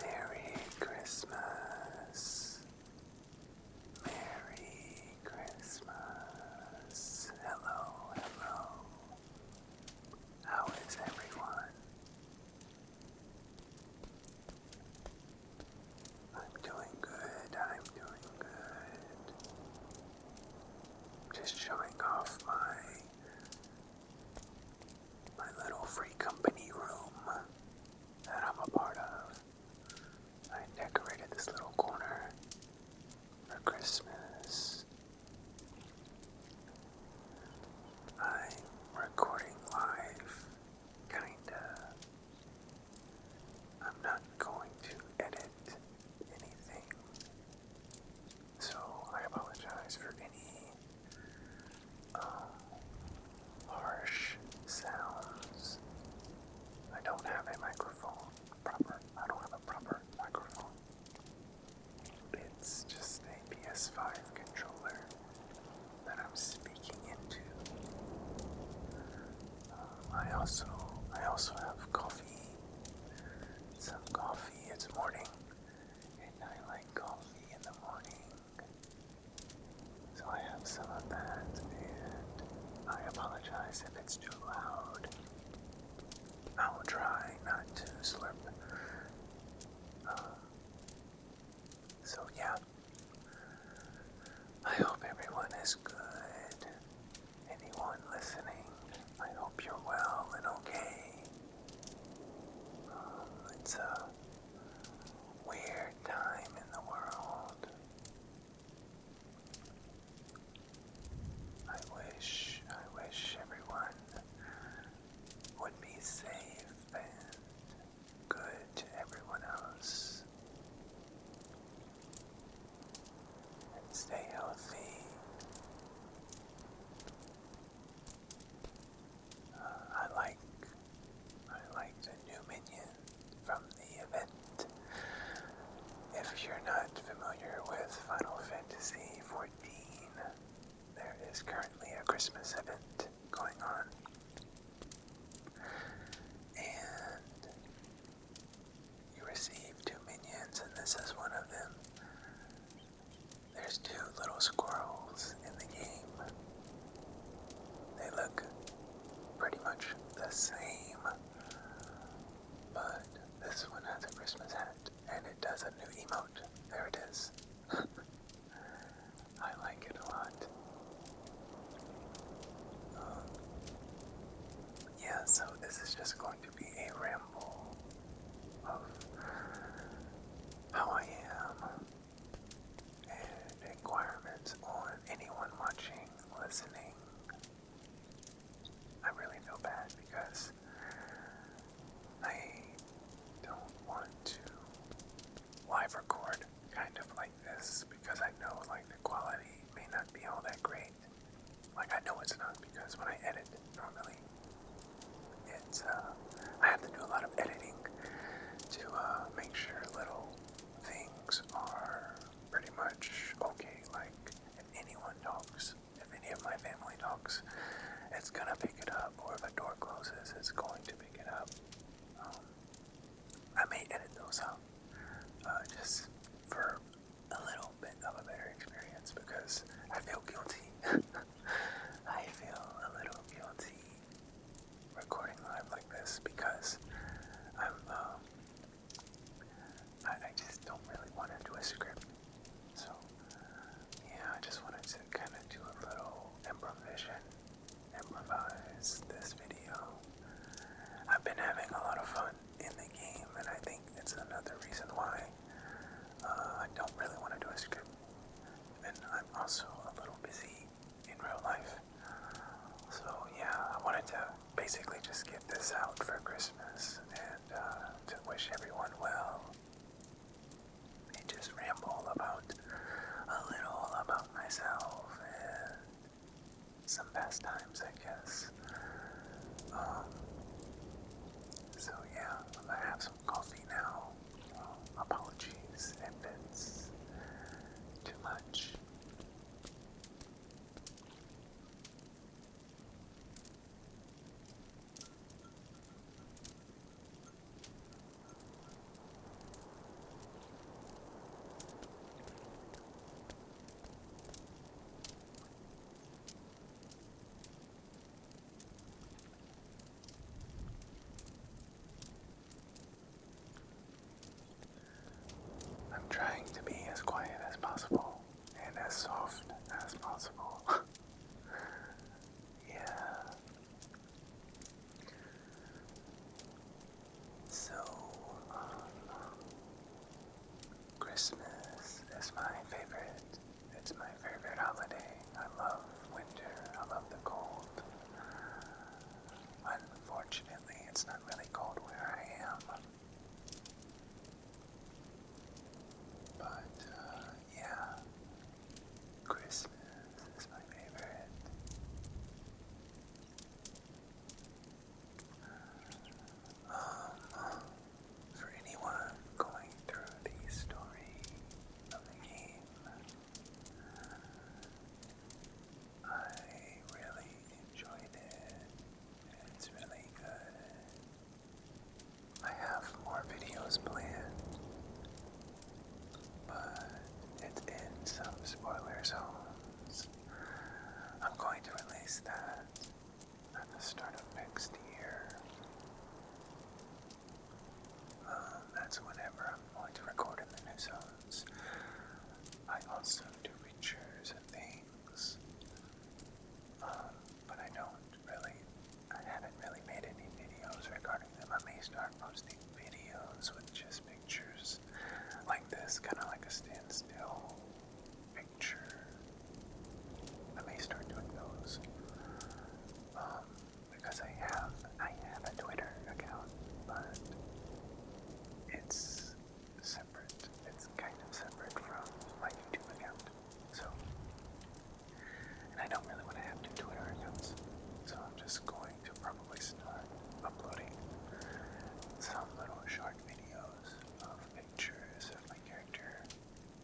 Merry Christmas. Merry Christmas. Hello, hello. How is everyone? I'm doing good, I'm doing good. Just showing off my my little free company room that I'm a part of. I decorated this little corner for Christmas. I'm recording live, kinda. I'm not going to edit anything so I apologize for any uh, harsh sounds. I don't have a microphone proper. I don't have a proper microphone. It's just a PS5 controller that I'm speaking into. Um, I also I also have coffee. Some coffee. It's morning and I like coffee in the morning. So I have some of that, and I apologize if it's too loud. I will try not to slurp. Uh, so, yeah. I hope everyone is good. Anyone listening I hope you're well and okay. it's a weird time in the world. I wish, I wish everyone would be safe and good to everyone else. And stay healthy. Uh, I like I like the new minion from the event. If you're not familiar with Final Fantasy XIV, there is currently a Christmas event going on. And you receive two minions, and this is one of them. There's two little squirrels in the game. They look pretty much the same, but this one has a Christmas hat and it does a new emote. There it is. I like it a lot. Um, yeah, so this is just going be a ramble of how I am and inquirements on anyone watching, listening. I really feel bad because I don't want to live record kind of like this because I know like the quality may not be all that great like I know it's not because when I edit normally, it's uh, I have to do a lot of editing to uh, make sure little things are pretty much okay. Like if anyone talks, if any of my family talks, it's gonna pick it up. Or if a door closes, it's going to pick it up. Um, I may edit those out uh, just for a little bit of a better experience because I feel guilty. I feel a little guilty recording live like this because I'm, um, I, I just don't really want to do a script. So, yeah, I just wanted to kind of do a little improvisation, improvise this video. I've been having a lot of fun in the game, and I think it's another reason why uh, I don't really want to do a script. And I'm also a little busy in real life. So, yeah, I wanted to basically just get this out for Christmas and uh, to wish everyone well and just ramble about a little about myself and some past times, I guess. Um, so yeah, i have some coffee now. apologies if it's too much. I'm trying to be as quiet as possible and as soft as possible. yeah. So, um, Christmas is my favorite. It's my favorite holiday. I love winter. I love the cold. Unfortunately, it's not really cold where I am. But, uh, yeah. Christmas is my favorite. Um, for anyone going through the story of the game. I really enjoyed it. It's really good. I have more videos planned, but it's in some spoiler zones. I'm going to release that at the start of next year. Um, that's whenever I'm going to record in the I also do pictures and things, um, but I don't really, I haven't really made any videos regarding them. I may start posting videos with just pictures like this, kind of like a standstill picture. I may start doing those um, because I have I have a Twitter account, but it's separate. It's kind of separate from my YouTube account. So, and I don't really want to have two Twitter accounts, so I'm just going to probably start uploading some little short videos of pictures of my character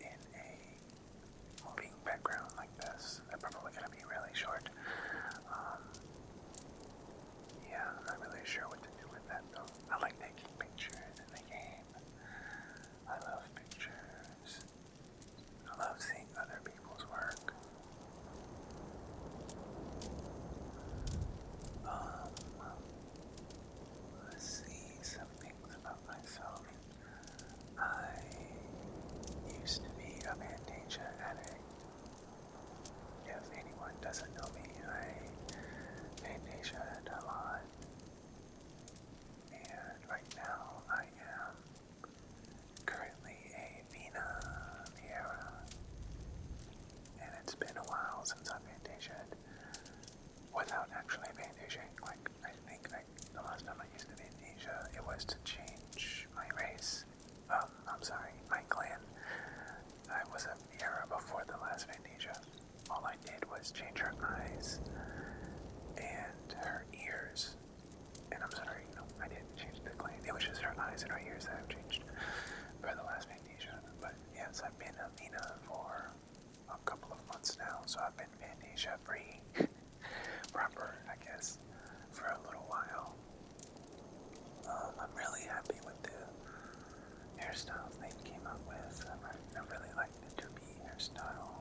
in a moving background like this. They're probably going to be really short. Um, yeah, I'm not really sure what to do with that though. I like taking pictures in the game. I love pictures. I love seeing other people's work. Um, let's see something about myself. I used to be a Mandacia addict. If anyone doesn't know me, I mandatia a lot. And right now I am currently a Vina Viera. And it's been a while since I've Mandatia'd without actually being Asian. Like, I think like the last time I used to be Asian, it was to change my race. Um, I'm sorry, my clan. I was a era before the last Vandesia. All I did was change her eyes and her ears. And I'm sorry, no, I didn't change the clan. It was just her eyes and her ears that i changed for the last Vandesia. But yes, I've been a Mina for a couple of months now, so I've been amnesia free, proper, I guess, for a little while. Um, I'm really happy with the hairstyle they came up with. I, really like the Doobie hairstyle.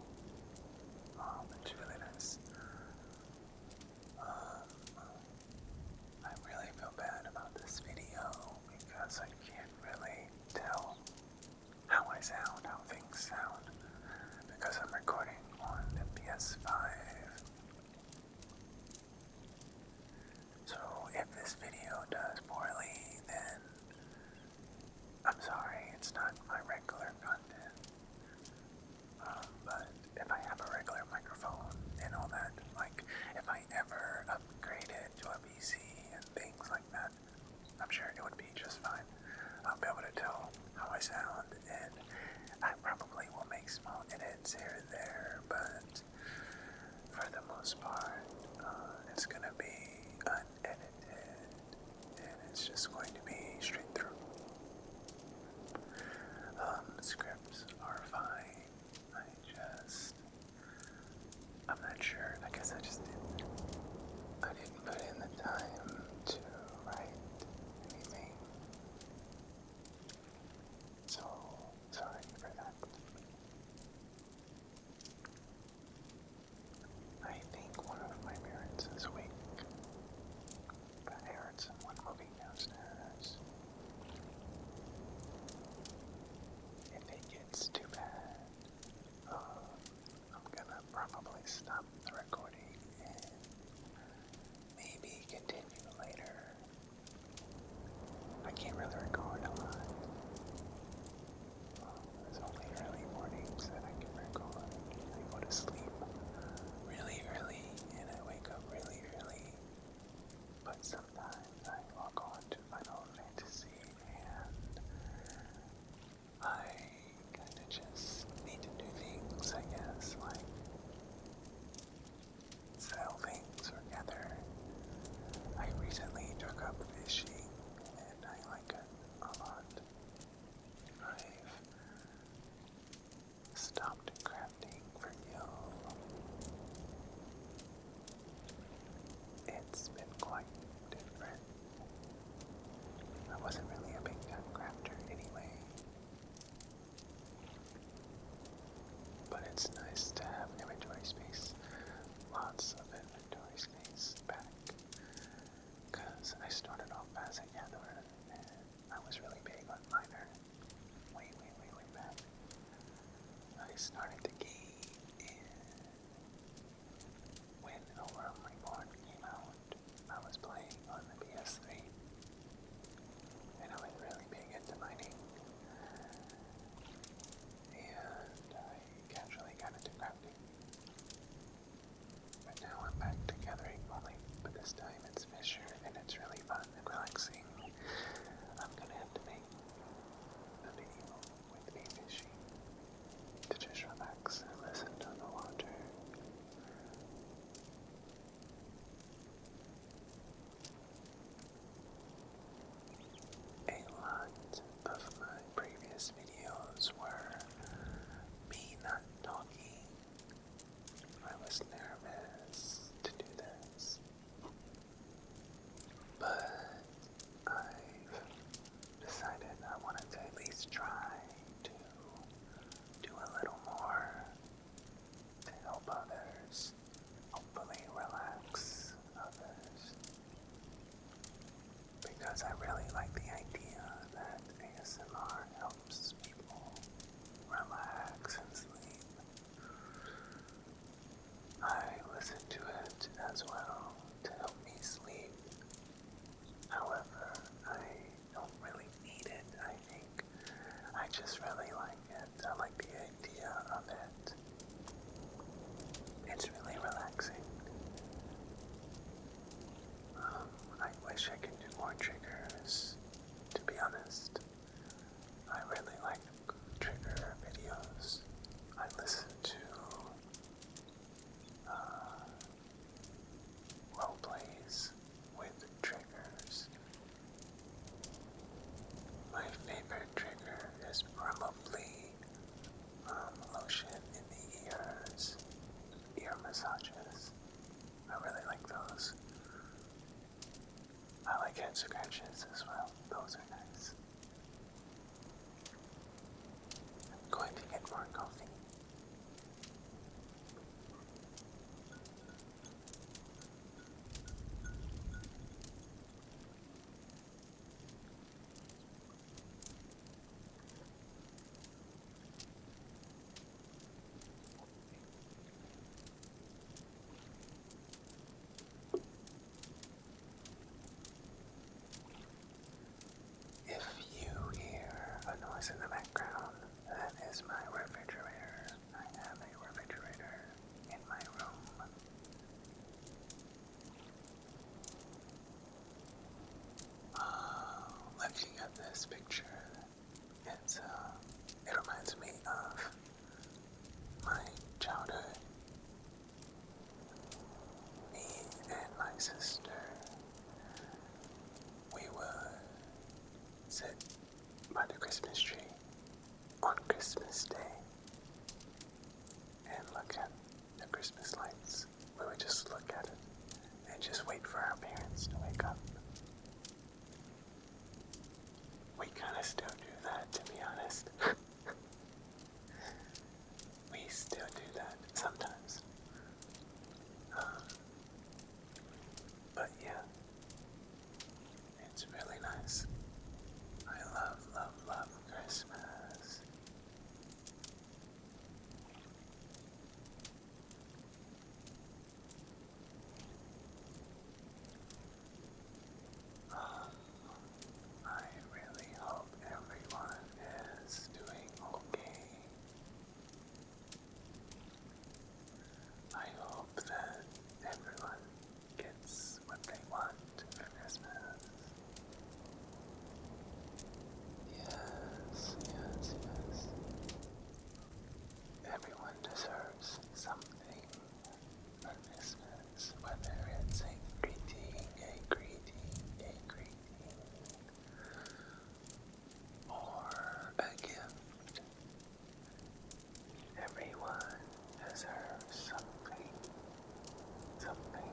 Um, it's really nice. Um, I really feel bad about this video because I can't really tell how I sound, how things sound, because I'm recording on the PS5. So if this video does poorly, then I'm sorry, it's not my regular content. Um, but if I have a regular microphone and all that, like if I ever upgraded to a PC and things like that, I'm sure it would be just fine. I'll be able to tell how I sound, and I probably will make small edits here and there, but for the most part, uh, it's going to be unedited, and it's just going to be straight through. Um, scripts are fine. I just I'm not sure. I guess I just didn't. I didn't put in the time to write anything. So sorry for that. I think one of my parents is awake. I heard someone moving downstairs. If it gets too bad, uh, I'm gonna probably stop the recording and maybe continue later. I can't really record a lot. Well, only early mornings that I can record. I go to sleep really early and I wake up really early. But sometimes I log on to Final Fantasy and I kinda just need to do things, I guess, like sell things or gather. I recently took up fishing and I like it a lot. I've stopped crafting for you. It's been quite different. I wasn't really a big gun crafter anyway. But it's nice to have inventory space, lots of inventory space back. Because I started off as a gatherer I was really big on miner. Way, way, way, way back. I started the game in when The Oram Reborn came out, I was playing on the PS3, and I was really big into mining, and I casually got into crafting. But now I'm back to gathering only, but this time it's Fisher, and it's really fun and relaxing. I'm gonna have to make a video with me fishing to just relax and listen to the water. A lot of my previous videos were me not talking. I was nervous to do this. But I've decided I wanted to at least try to do a little more to help others, hopefully relax others. Because I really like the idea that ASMR helps people relax and sleep. I listen to it as well to help me sleep. However, I don't really need it, I think. I just really like it. I like the idea of it. It's really relaxing. Um, I wish I could do more triggers, to be honest. I really like trigger videos. I listen to well uh, plays with triggers. My favorite trigger is probably um, lotion in the ears, ear massages. I really like those. I like head scratches as well. Those are nice. I'm going to get more coffee. If you hear a noise in the background, that is my refrigerator. I have a refrigerator in my room. Uh, looking at this picture, it's, uh, it reminds me of my childhood me and my sister, we would set by the Christmas tree on Christmas Day and look at the Christmas lights. We would just look at it and just wait for our parents to wake up. We kind of still do that, to be honest. we still do that sometimes. Uh, but yeah, it's really nice. I love, love, love Christmas. I really hope everyone is doing okay. I hope that everyone gets what they want for Christmas. Yes, yes, yes. Everyone deserves something for whether it's greeting, a greeting, a greeting, or a gift. Everyone deserves something, something.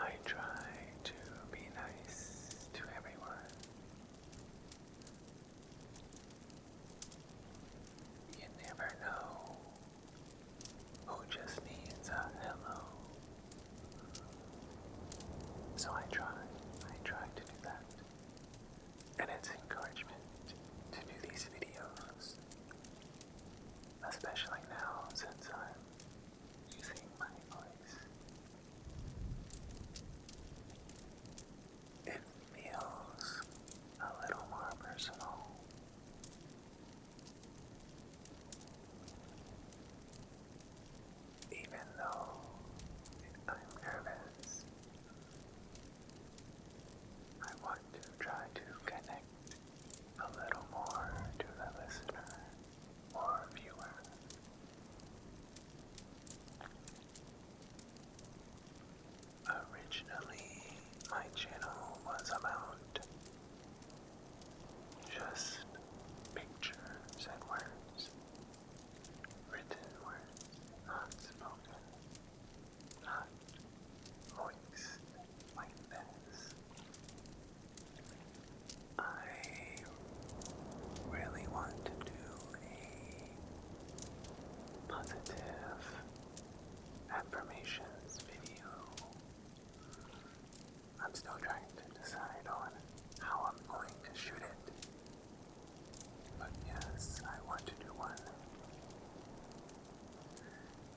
I try to be nice to everyone. You never know who just needs a hello. So I try, I try to do that. And it's encouragement to do these videos, especially now since I'm using my voice it feels a little more personal. Even though I'm nervous, I want to try to connect a little more to the listener or viewer. Originally, my channel was about just pictures and words, written words, not spoken, not voiced like this. I really want to do a positive affirmations video. I'm still trying to decide on how I'm going to shoot it. But yes, I want to do one.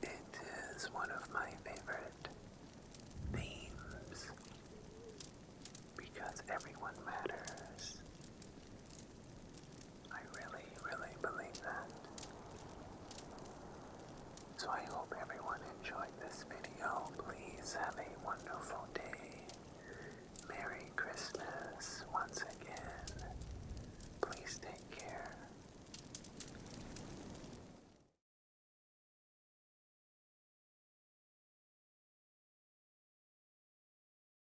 It is one of my favorite themes because everyone matters I really, really believe that. So I hope everyone enjoyed this video. Please have a wonderful day. Merry Christmas once again. Please take care.